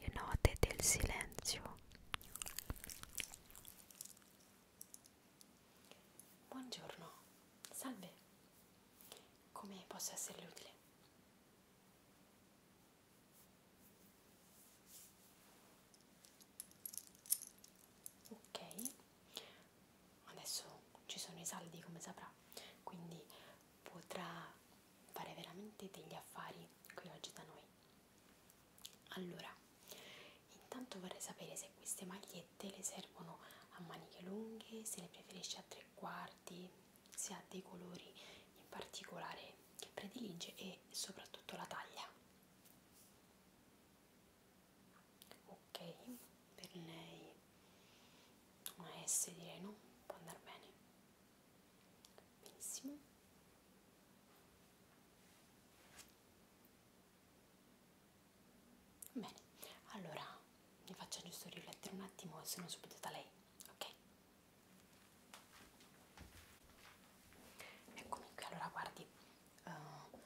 le note del silenzio. Buongiorno, salve, come posso esserle utile? Ok, adesso ci sono i saldi come saprà, quindi potrà fare veramente degli affari qui oggi da noi allora intanto vorrei sapere se queste magliette le servono a maniche lunghe se le preferisce a tre quarti se ha dei colori in particolare che predilige e soprattutto la taglia ok per lei una S direi no, può andare bene benissimo bene, allora mi faccio giusto riflettere un attimo e sono subito da lei, ok? Eccomi qui, allora guardi, uh,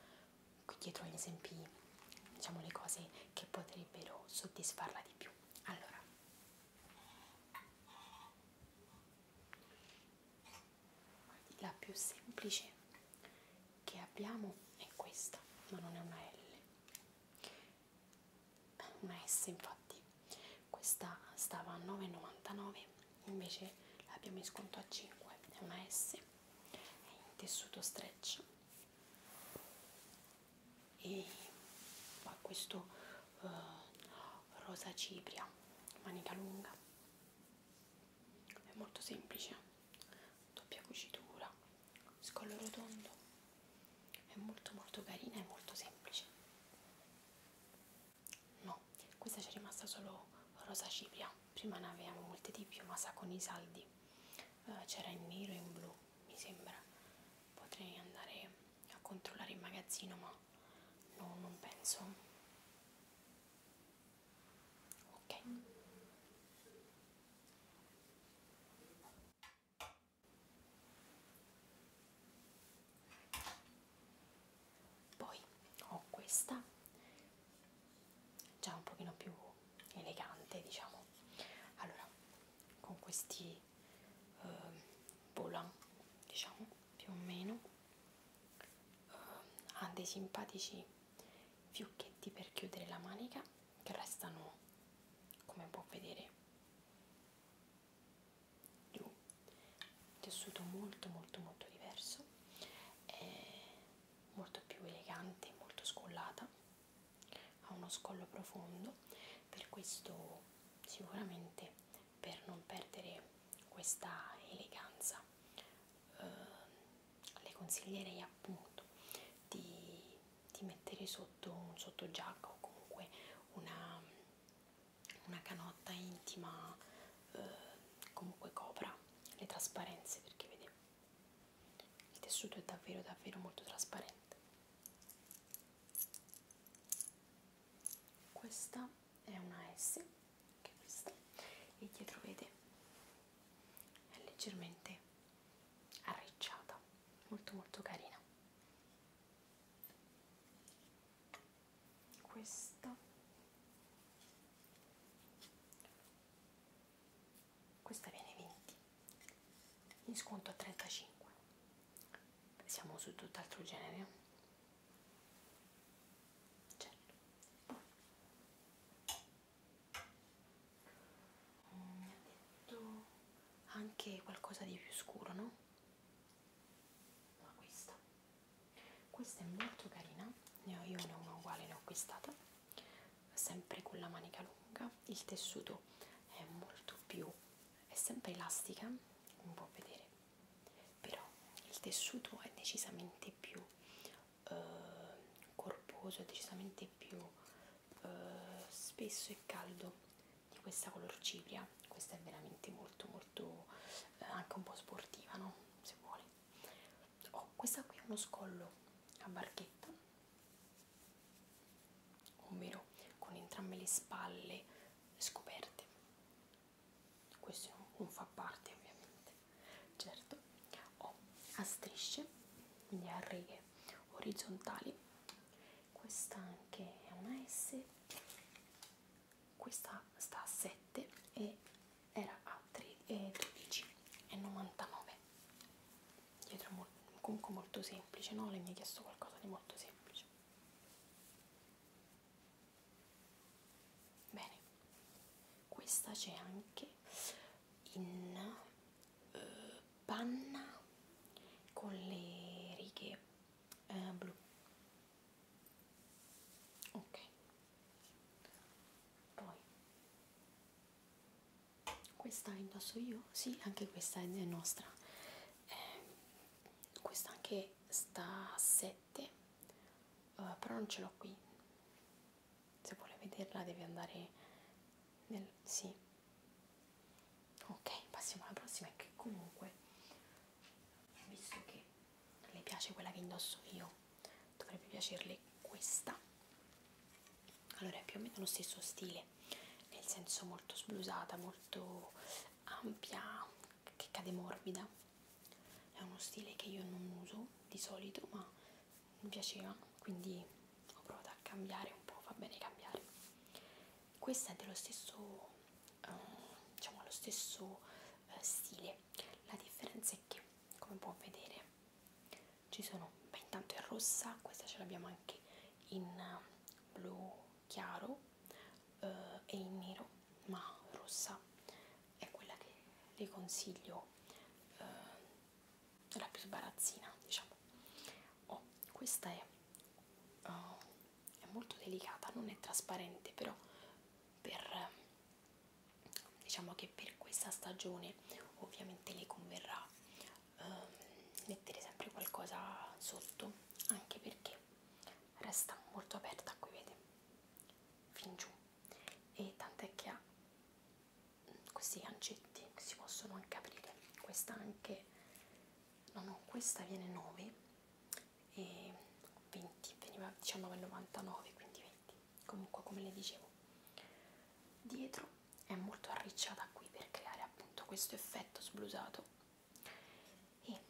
qui dietro gli esempi, diciamo le cose che potrebbero soddisfarla di più vero allora la più semplice che abbiamo è questa ma non è una L una S infatti questa stava a 9,99 invece l'abbiamo in sconto a 5 è una S è in tessuto stretch e poi questo uh, rosa cipria manica lunga è molto semplice doppia cucitura scollo rotondo è molto molto carina e molto semplice no questa c'è rimasta solo rosa cipria prima ne avevamo molte di più ma sa con i saldi uh, c'era in nero e in blu mi sembra potrei andare a controllare il magazzino ma no, non penso ok poi ho questa già un pochino più elegante diciamo allora con questi eh, volant diciamo più o meno eh, ha dei simpatici fiocchetti per chiudere la manica che restano come può vedere giù tessuto molto molto molto diverso è molto più elegante molto scollata ha uno scollo profondo per questo sicuramente per non perdere questa eleganza eh, le consiglierei appunto di, di mettere sotto un sottogiacca o comunque una, una canotta intima eh, comunque copra le trasparenze perché vedete il tessuto è davvero davvero molto trasparente questa è una S che questa e dietro vede è leggermente arricciata molto molto carina questa questa viene 20 in sconto a 35 siamo su tutt'altro genere certo mi mm, ha detto anche qualcosa di più scuro no? ma questa questa è molto carina ne ho, io ne ho una uguale ne ho acquistata sempre con la manica lunga il tessuto è molto più è sempre elastica un po' vedere però il tessuto è decisamente più eh, corposo è decisamente più eh, spesso e caldo di questa color cipria questa è veramente molto molto eh, anche un po' sportiva no se vuole oh, questa qui è uno scollo a barchetta ovvero con entrambe le spalle scoperte questo non fa parte ovviamente certo ho oh, a strisce quindi a righe orizzontali questa anche è una S questa sta a 7 e era a 12,99 eh, dietro comunque molto semplice no? lei mi ha chiesto qualcosa di molto semplice bene questa c'è anche in uh, panna con le righe uh, blu ok poi questa indosso io sì anche questa è nostra eh, questa anche sta a 7 uh, eh, però non ce l'ho qui se vuole vederla deve andare nel sì ok passiamo alla prossima che comunque visto che le piace quella che indosso io, dovrebbe piacerle questa. Allora è più o meno lo stesso stile, nel senso molto sblusata, molto ampia, che cade morbida. È uno stile che io non uso di solito, ma mi piaceva, quindi ho provato a cambiare un po', va bene cambiare. Questa è dello stesso, eh, diciamo, lo stesso eh, stile, la differenza è che come può vedere ci sono beh intanto è rossa questa ce l'abbiamo anche in eh, blu chiaro eh, e in nero ma rossa è quella che le consiglio eh, la più sbarazzina diciamo oh, questa è, oh, è molto delicata non è trasparente però per diciamo che per questa stagione ovviamente le converrà ehm, mettere sempre qualcosa sotto anche perché resta molto aperta qui vede fin giù e tant'è che ha mm, questi gancetti che si possono anche aprire questa anche no no questa viene 9 e 20 veniva 19,99 diciamo, quindi 20 comunque come le dicevo dietro è molto arricciata qui per creare appunto questo effetto sblusato e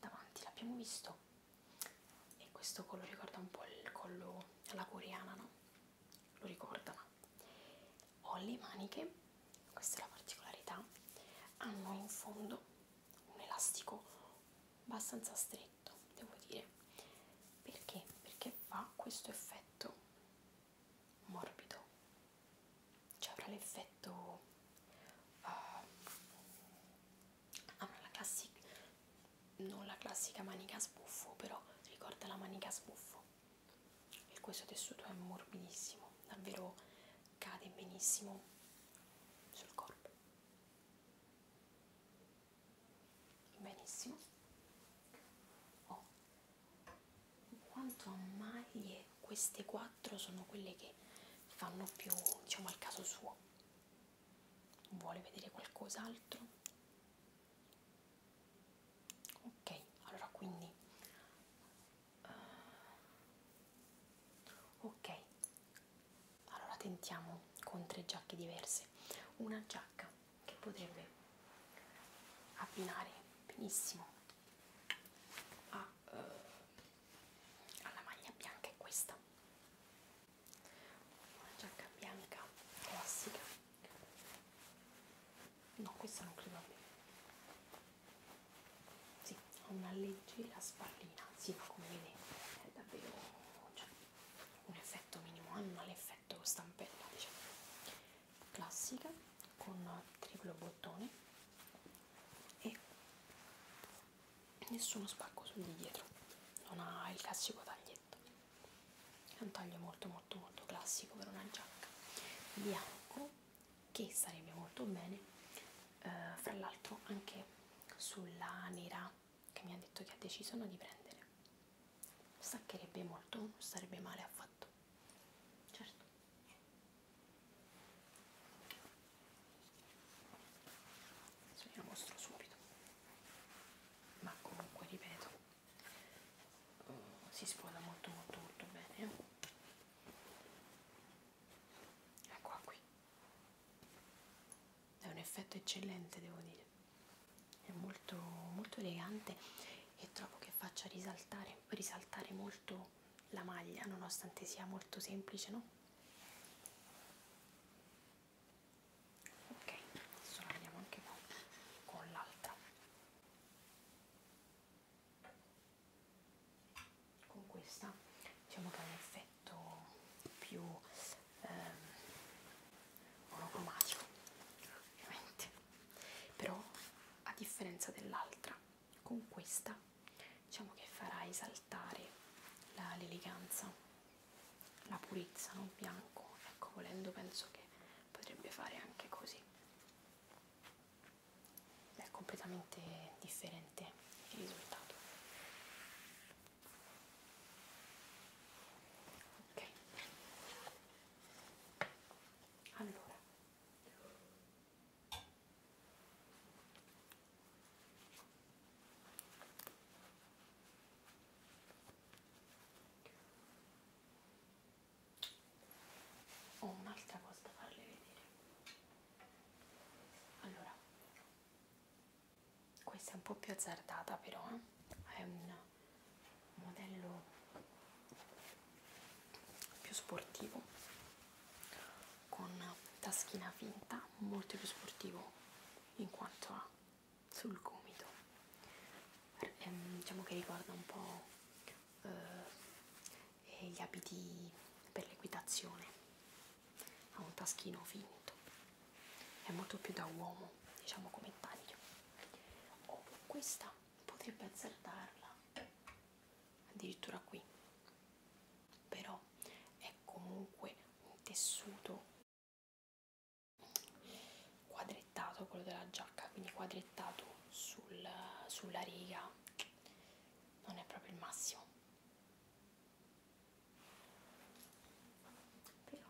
davanti l'abbiamo visto e questo collo ricorda un po' il collo alla coreana no? lo ricorda ma ho le maniche questa è la particolarità hanno in fondo un elastico abbastanza stretto devo dire perché perché fa questo effetto morbido cioè avrà l'effetto uh, avrà la classica non la classica manica sbuffo però ricorda la manica sbuffo e questo tessuto è morbidissimo davvero cade benissimo sul corpo benissimo oh. quanto a maglie queste quattro sono quelle che fanno più diciamo al caso suo vuole vedere qualcos'altro ok allora quindi Ah. ok allora tentiamo con tre giacche diverse una giacca che potrebbe abbinare benissimo a, uh, alla maglia bianca è questa una giacca bianca classica no questa non credo a me sì, una leggera spallina, sì, ma come vedete è davvero cioè, un effetto minimo, hanno l'effetto stampella, diciamo. Classica con triplo bottone e nessuno spacco sul di dietro, non ha il classico taglietto. È un taglio molto molto molto classico per una giacca bianco che sarebbe molto bene eh, fra l'altro anche sulla nera che mi ha detto che ha deciso no, di prendere staccherebbe molto non sarebbe male affatto certo se lo mostro subito ma comunque ripeto mm, si sposa molto molto molto bene eh eccola qui è un effetto eccellente devo dire è molto molto elegante e trovo che faccia risaltare risaltare molto la maglia nonostante sia molto semplice no ok adesso la vediamo anche qua con l'altra con questa diciamo che ha un effetto più ehm, monocromatico ovviamente però a differenza dell'altra con questa diciamo che farà esaltare l'eleganza la, la purezza non bianco ecco volendo penso che potrebbe fare anche così è completamente differente il risultato ok allora ho un'altra cosa da farle vedere allora questa è un po' più azzardata però eh? è un modello più sportivo con taschina finta molto più sportivo in quanto ha sul gomito ehm, diciamo che ricorda un po' eh, e gli abiti per l'equitazione ha un taschino finto è molto più da uomo diciamo come taglio oh, questa potrebbe azzardarla addirittura qui però è comunque un tessuto quadrettato quello della giacca quindi quadrettato sul, sulla riga non è proprio il massimo però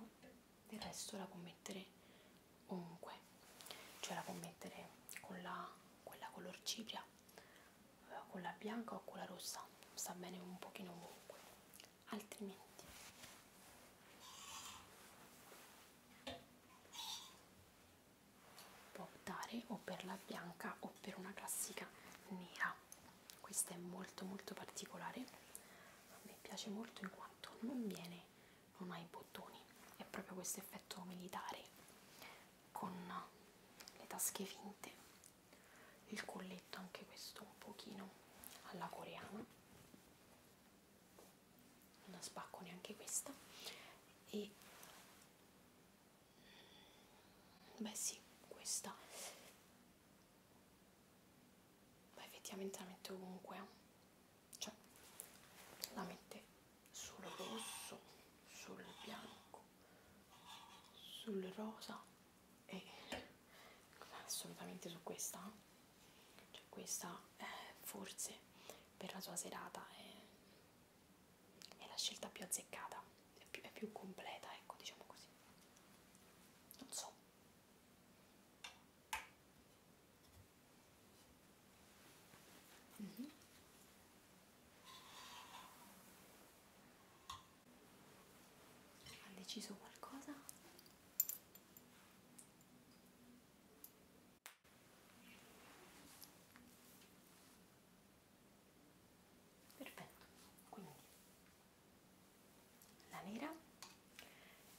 del resto la può mettere ovunque cioè la può mettere con la, quella color cipria eh, con la bianca o con la rossa sta bene un pochino ovunque altrimenti può optare o per la bianca o per una classica nera questa è molto molto particolare a me piace molto in quanto non viene non ha i bottoni è proprio questo effetto militare con le tasche finte il colletto anche questo un pochino alla coreana non la spacco neanche questa e beh sì questa ma effettivamente la mette ovunque eh. cioè la mette sul rosso sul bianco sul rosa e assolutamente su questa eh cioè questa eh, forse per la sua serata è, è la scelta più azzeccata è più, è più completa ecco diciamo così non so mm -hmm. ha deciso qualcosa Perfetto, quindi la nera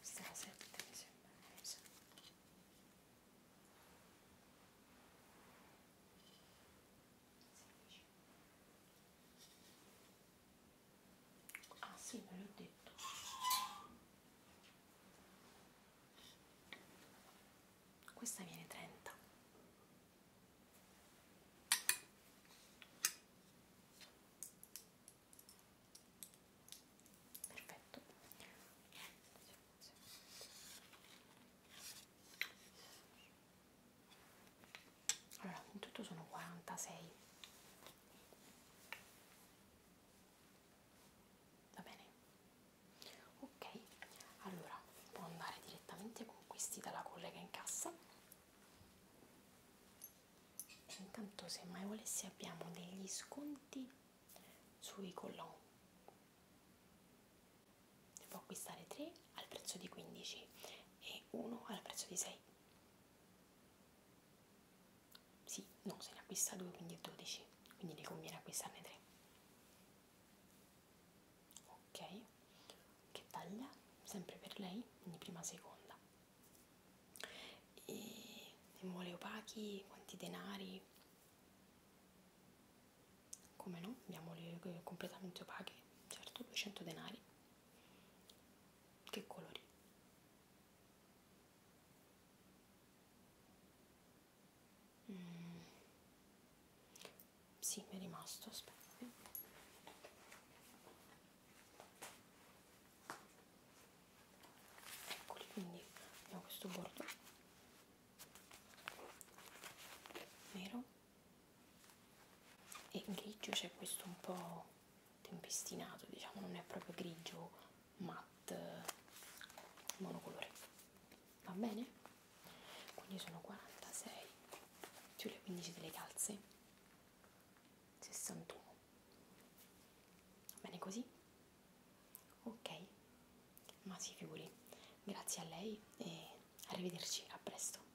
stasera mi sembra messa. Ah sì, ve l'ho detto. Questa viene 30. Perfetto. Allora, in tutto sono 46 va bene ok allora può andare direttamente con questi dalla collega in cassa intanto se mai volessi abbiamo degli sconti sui collon ne può acquistare 3 al prezzo di 15 e 1 al prezzo di 6 sì, no, se ne acquista 2 quindi è 12, quindi ne conviene acquistarne 3. Ok, che taglia? Sempre per lei, quindi prima seconda. E ne vuole opachi? Quanti denari? Come no? Abbiamo le eh, completamente opache, certo, 200 denari. Che colori? Mm. Sì, mi è rimasto, aspetta. Eccoli, quindi abbiamo questo bordo nero e grigio c'è questo un po' tempestinato, diciamo, non è proprio grigio, matte, monocolore. Va bene? Quindi sono 46 più le 15 delle calze, 61. Va bene così? Ok, ma si figuri. Grazie a lei e arrivederci a presto.